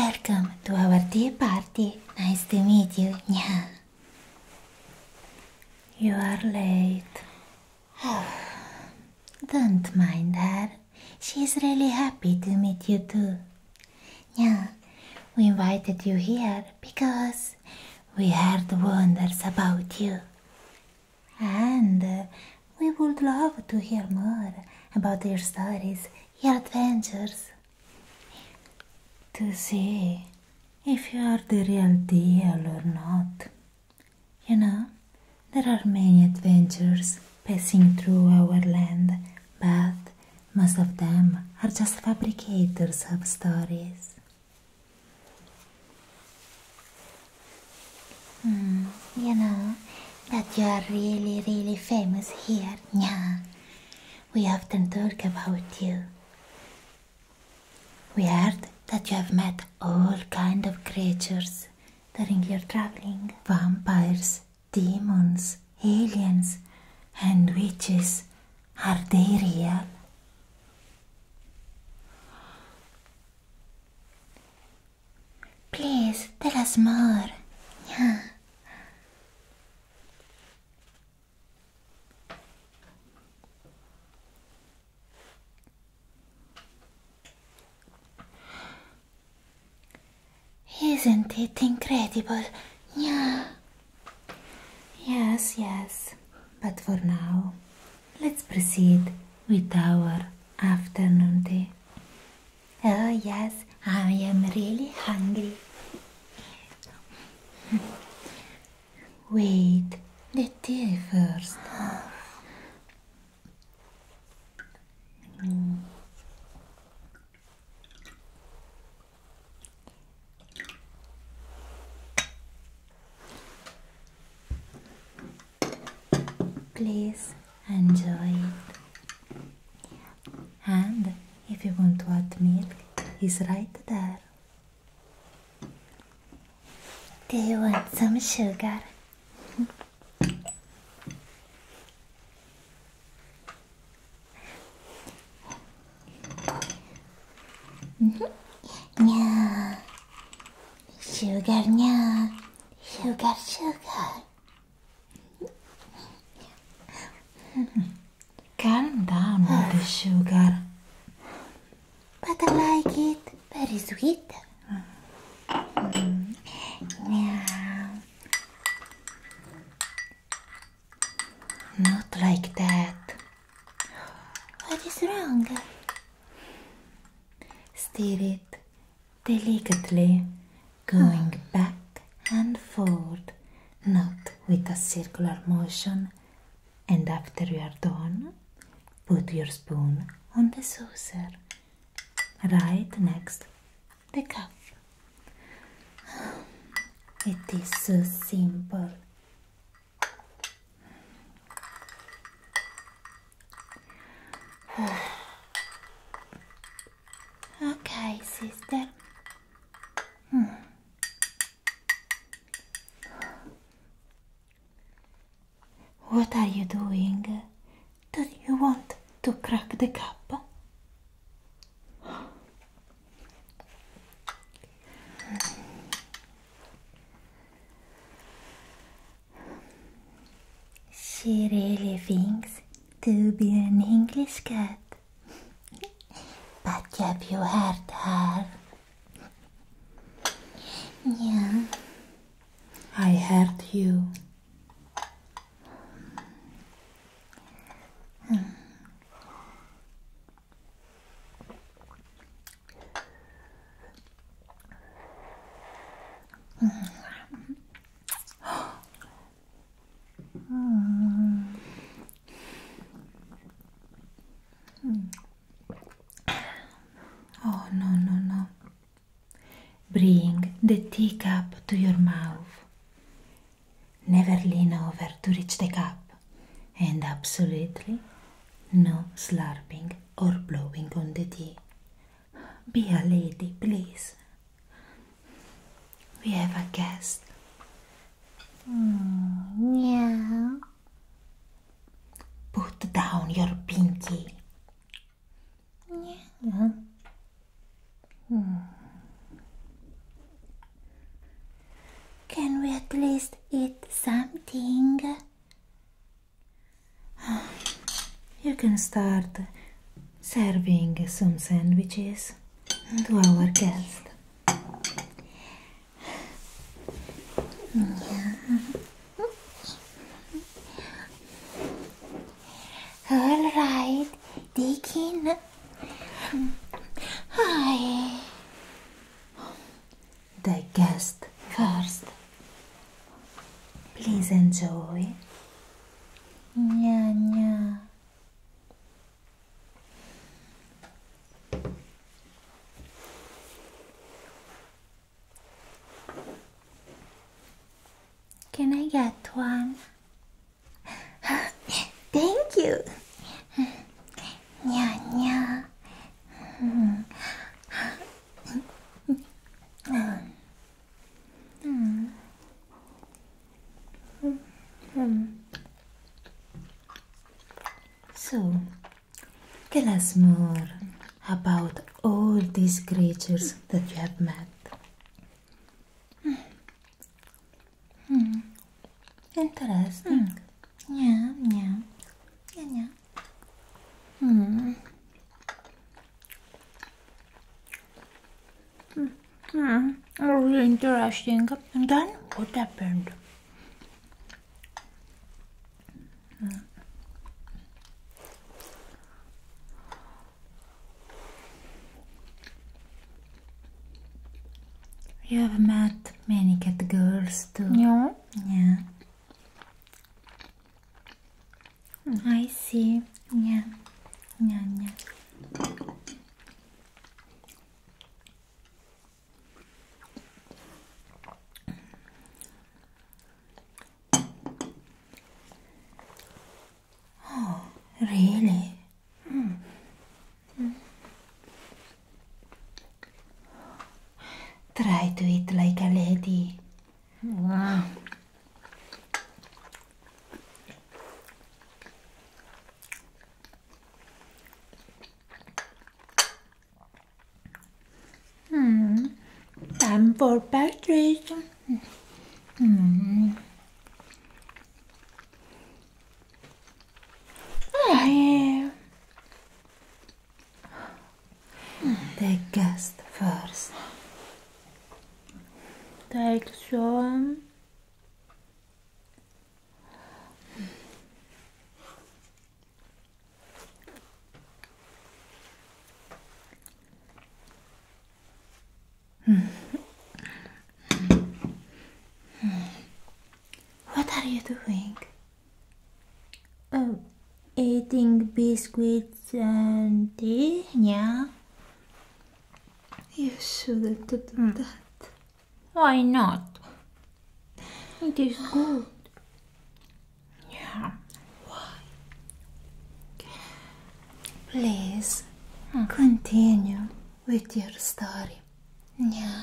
Welcome to our tea party. Nice to meet you. Yeah. You are late. Oh, don't mind her. She's really happy to meet you too. Yeah, we invited you here because we heard wonders about you. And we would love to hear more about your stories, your adventures, to see if you are the real deal or not. You know, there are many adventures passing through our land, but most of them are just fabricators of stories. Mm, you know that you are really, really famous here. Yeah, we often talk about you. We heard that you have met all kind of creatures during your traveling: vampires, demons, aliens, and witches. Are they real? Please tell us more. Yeah. Isn't it incredible? Yeah. Yes, yes. But for now, Let's proceed with our afternoon tea. Oh, yes, I am really hungry. Wait, the tea first. Please enjoy it. And if you want hot milk, it's right there. Do you want some sugar? Mm-hmm. Yeah. Sugar, yeah. Sugar, sugar. Calm down with the sugar. But I like it. Very sweet. Yeah. Not like that. What is wrong? Steer it delicately, going back and forward, not with a circular motion. And after you are done, put your spoon on the saucer, right next the cup. It is so simple. okay, sister. Hmm. What are you doing? Do you want to crack the cup? She really thinks to be an English cat. but have you heard her? Yeah. I heard you. Hmm. Oh no no no. Bring the teacup to your mouth. Never lean over to reach the cup. And absolutely no slurping. or blowing on the tea. Be a lady, please. We have a guest. Mm, yeah. Put down your pinky. Yeah. Hmm. Can we at least eat something? You can start serving some sandwiches to our guest. All right, Deacon. Hmm. Hi the guest first. Please enjoy. Nya, nya. Can I get one? Thank you. nya, nya. So, tell us more about all these creatures that you have met. Hmm. Hmm. Hmm. Interesting. Yeah, yeah, yeah, yeah. Hmm. Hmm. Oh, really interesting. And then what happened? Mm. You have met many cat girls too. Yeah. Yeah. 아이씨 용야 용야 용야 Really? Mm. Mm. Try to eat like a lady. Hmm. Time for pastries. Hmm. Oh, Take guest first. Take some. What are you doing? Oh, eating biscuits and tea, yeah? You shouldn't do hmm. that. Why not? It is good. Yeah. Why? Please, hmm. continue with your story. Yeah.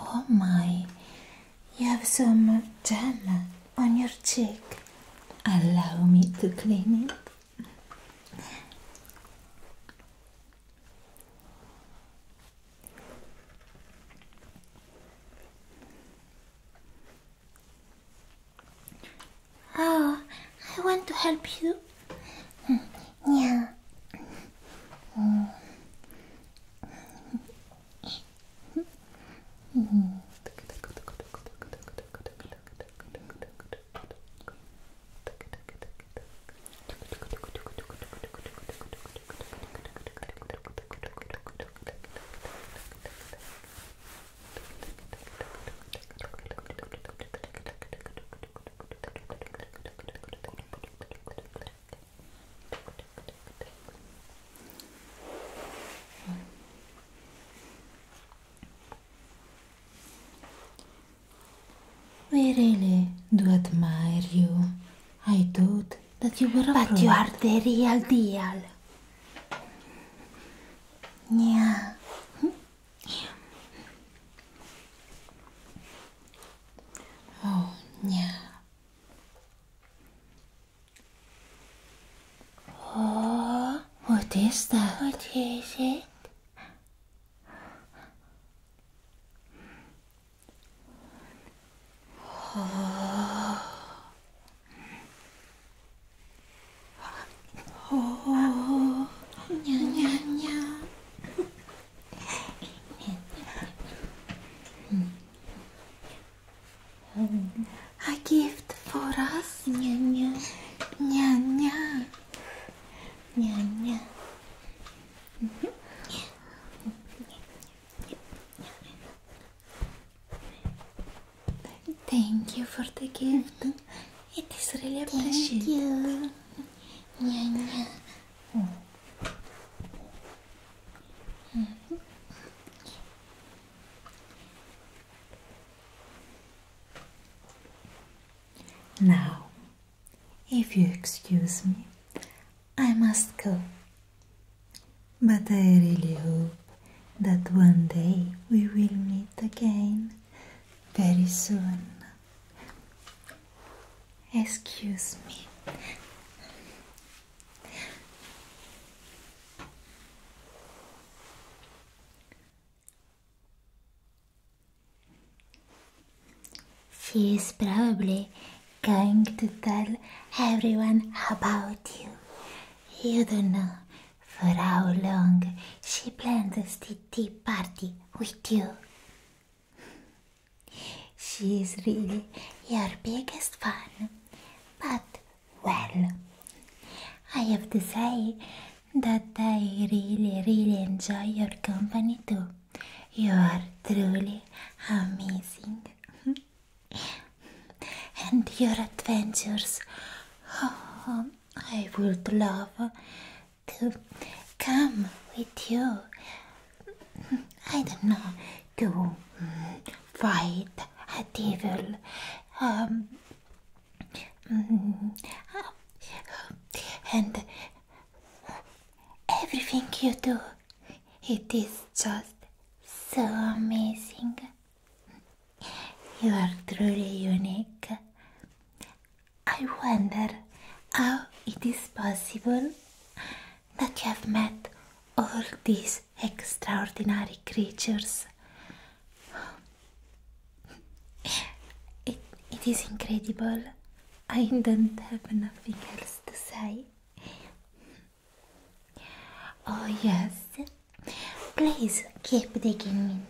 Oh my, you have some gel on your cheek. Allow me to clean it. Oh, I want to help you. Yeah. We really do admire you. I thought that you were But you are the real deal. Yeah. Hmm? Oh, yeah. Oh, what is that? What is it? A gift for us. Nya, nya. Nya, nya. Nya, Thank you for the gift. It is really appreciated. Thank you. Yeah, mm-hmm. yeah. Now, if you excuse me, I must go. But I really hope that one day we will meet again very soon. Excuse me. She is probably going to tell everyone about you. You don't know for how long she plans the tea party with you? she is really your biggest fan. But, well, I have to say that I really, really enjoy your company too. You are truly amazing. and your adventures. Oh, I would love to come with you. I don't know to mm, fight a devil. Um, mm, and everything you do, it is just so amazing. You are truly unique. I wonder how it is possible that you have met all these extraordinary creatures. It, it is incredible. I don't have nothing else to say. Oh, yes. Please keep digging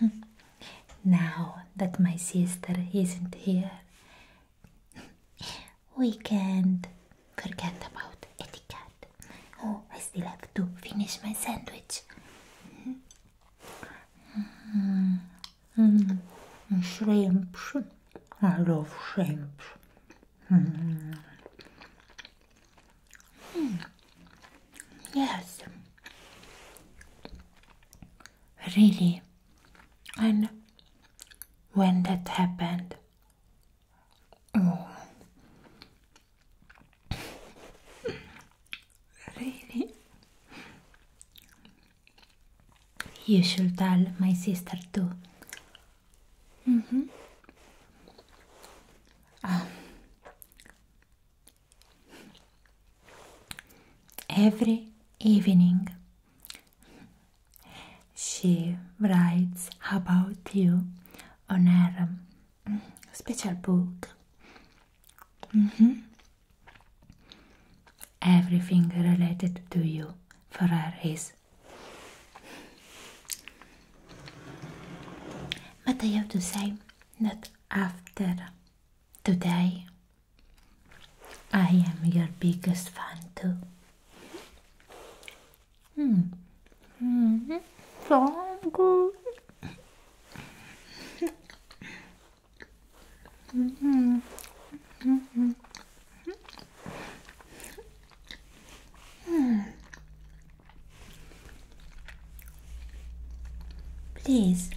in. now that my sister isn't here, we can't forget about etiquette. Oh, I still have to finish my sandwich. Mm. Mm. Shrimps. I love shrimps. Hmm. Yes, really. And when that happened, oh. really, you should tell my sister too. Mm -hmm. um, every evening she writes about you on her mm, special book mm -hmm. everything related to you for her is but i have to say that after today, I am your biggest fan too. Mm. -hmm. Mm-hmm. So good. mm -hmm. Mm -hmm. Please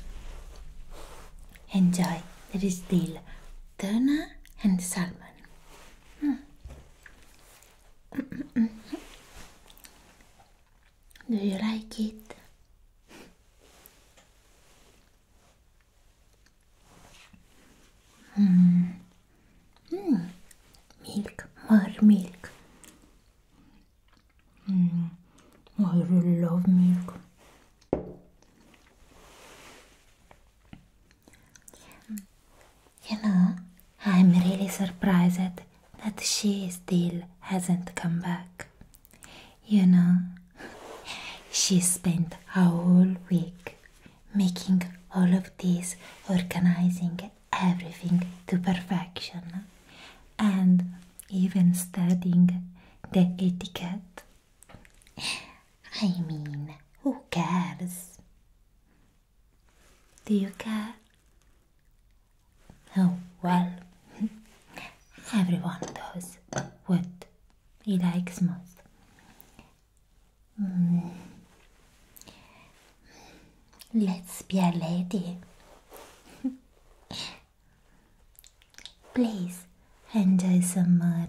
enjoy. the dill, tuna, and salmon. Hmm. Do you like it? Hmm. Hmm. Milk, more milk. Mm. Oh, I really love milk. You know, I'm really surprised that she still hasn't come back. You know, she spent a whole week making all of this, organizing everything to perfection and even studying the etiquette. I mean, who cares? Do you care? Oh, well, everyone does what he likes most. Mm. Let's be a lady. Please enjoy some more.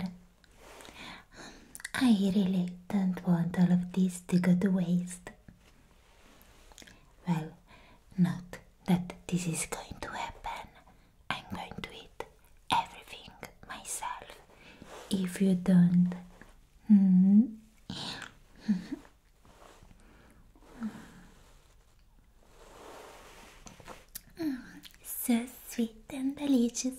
I really don't want all of this to go to waste. Well, not that this is going to happen. I'm going to eat everything myself if you don't. -hmm. So sweet and delicious.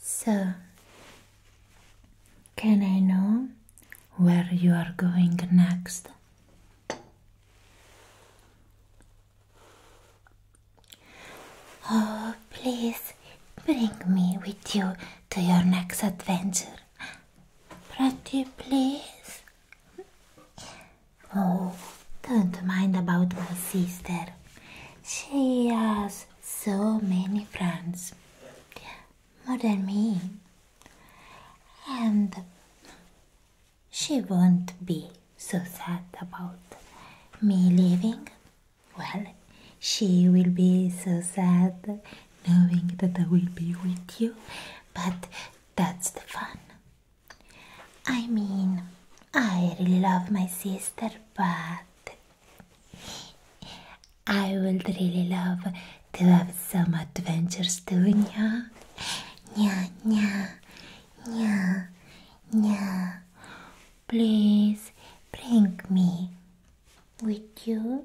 So, can I know where you are going next? Oh, please bring me with you to your next adventure. Pretty, please. Oh, don't mind about my sister. She has so many friends, more than me, and she won't be so sad about me leaving. Well, she will be so sad knowing that I will be with you, but that's the fun. I mean, I really love my sister, but I would really love to have some adventures too, nya. Nya, nya, nya, nya. Please bring me with you.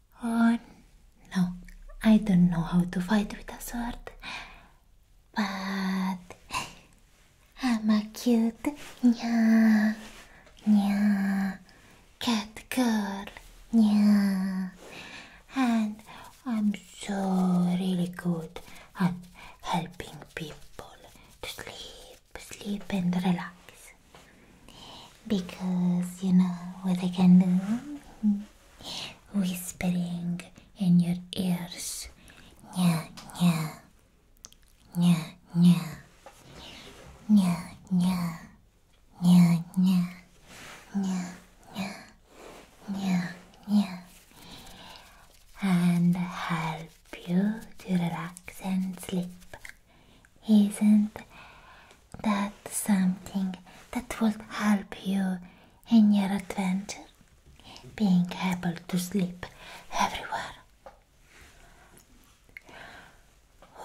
Oh, no, I don't know how to fight with a sword, but I'm a cute nya nya cat girl nya, and I'm so really good at helping people to sleep, sleep and relax. Because you know what I can do? Whispering in your ears. Nya, nya. Nya, nya. Nya, nya. Nya, nya. Nya, nya. Nya, nya. And help you to relax and sleep. Isn't that something that would help you in your adventure? Being able to sleep everywhere.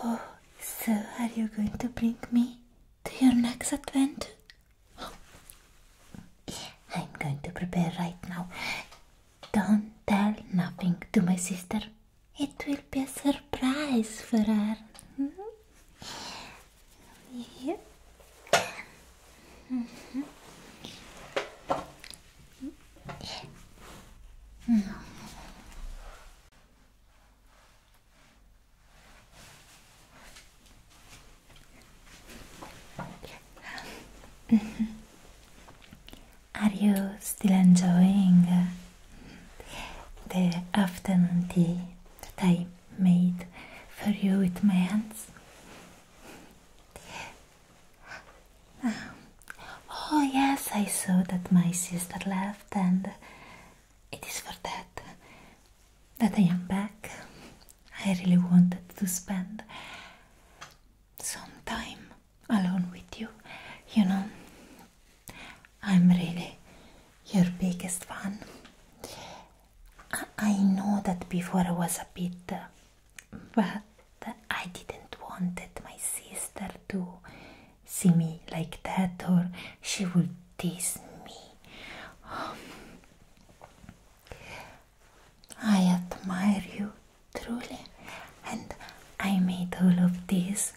Oh, so are you going to bring me to your next adventure? I'm going to prepare right now. Don't tell nothing to my sister. It will be a surprise for her. Mm-hmm. Mm-hmm. Mm-hmm. Are you still enjoying the afternoon tea that I made for you with my hands? Oh, yes, I saw that my sister left, and it is for that that I am back. I really wanted to spend some time alone with you. You know, I'm really your biggest fan. I, know that before I was a bit, uh, but I didn't want it, my sister to see me like that, or she would tease me. I admire you truly, and I made all of this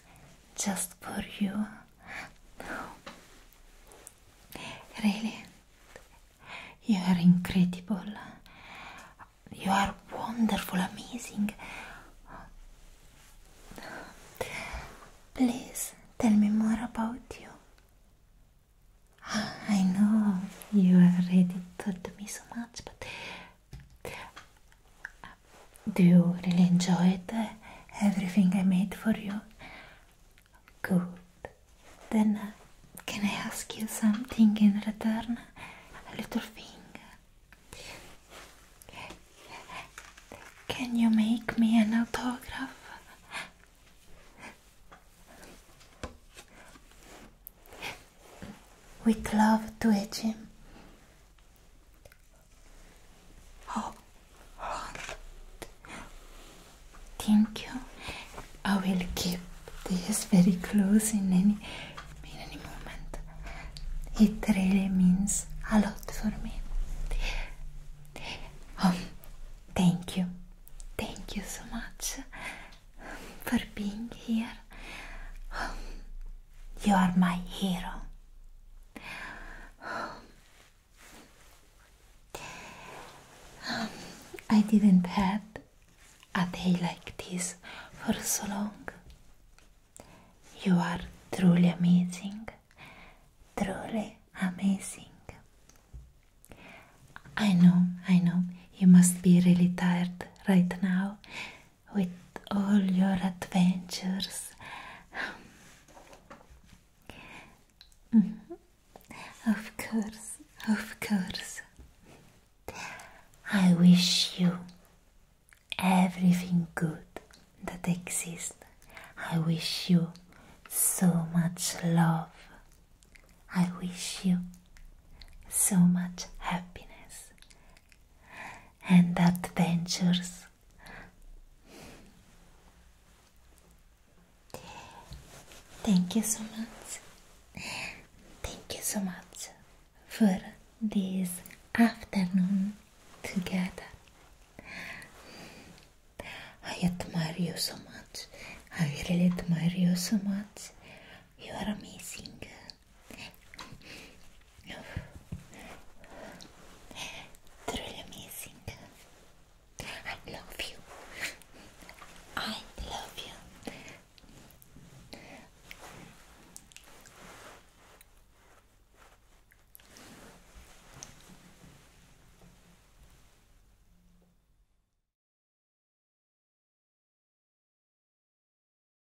just for you. Really, you are incredible. You are wonderful, amazing. Please tell me more about you. I know you already told me so much, but. Do you really enjoy uh, everything I made for you? Good. Then uh, can I ask you something in return? A little thing. Can you make me an autograph? With love to a gym. Oh, thank you. I will keep this very close in any in any moment. It really means a lot for me. Um, thank you, thank you so much for being here. Um, you are my hero. I didn't have a day like this for so long. You are truly amazing, truly amazing. I know, I know, you must be really tired right now with all your adventures. Mm-hmm. Of course, of course. I wish you everything good that exists. I wish you so much love. I wish you so much happiness and adventures. Thank you so much. Thank you so much for this afternoon together. I admire you so much. I really admire you so much. You are amazing. Truly amazing. I love you. I love you.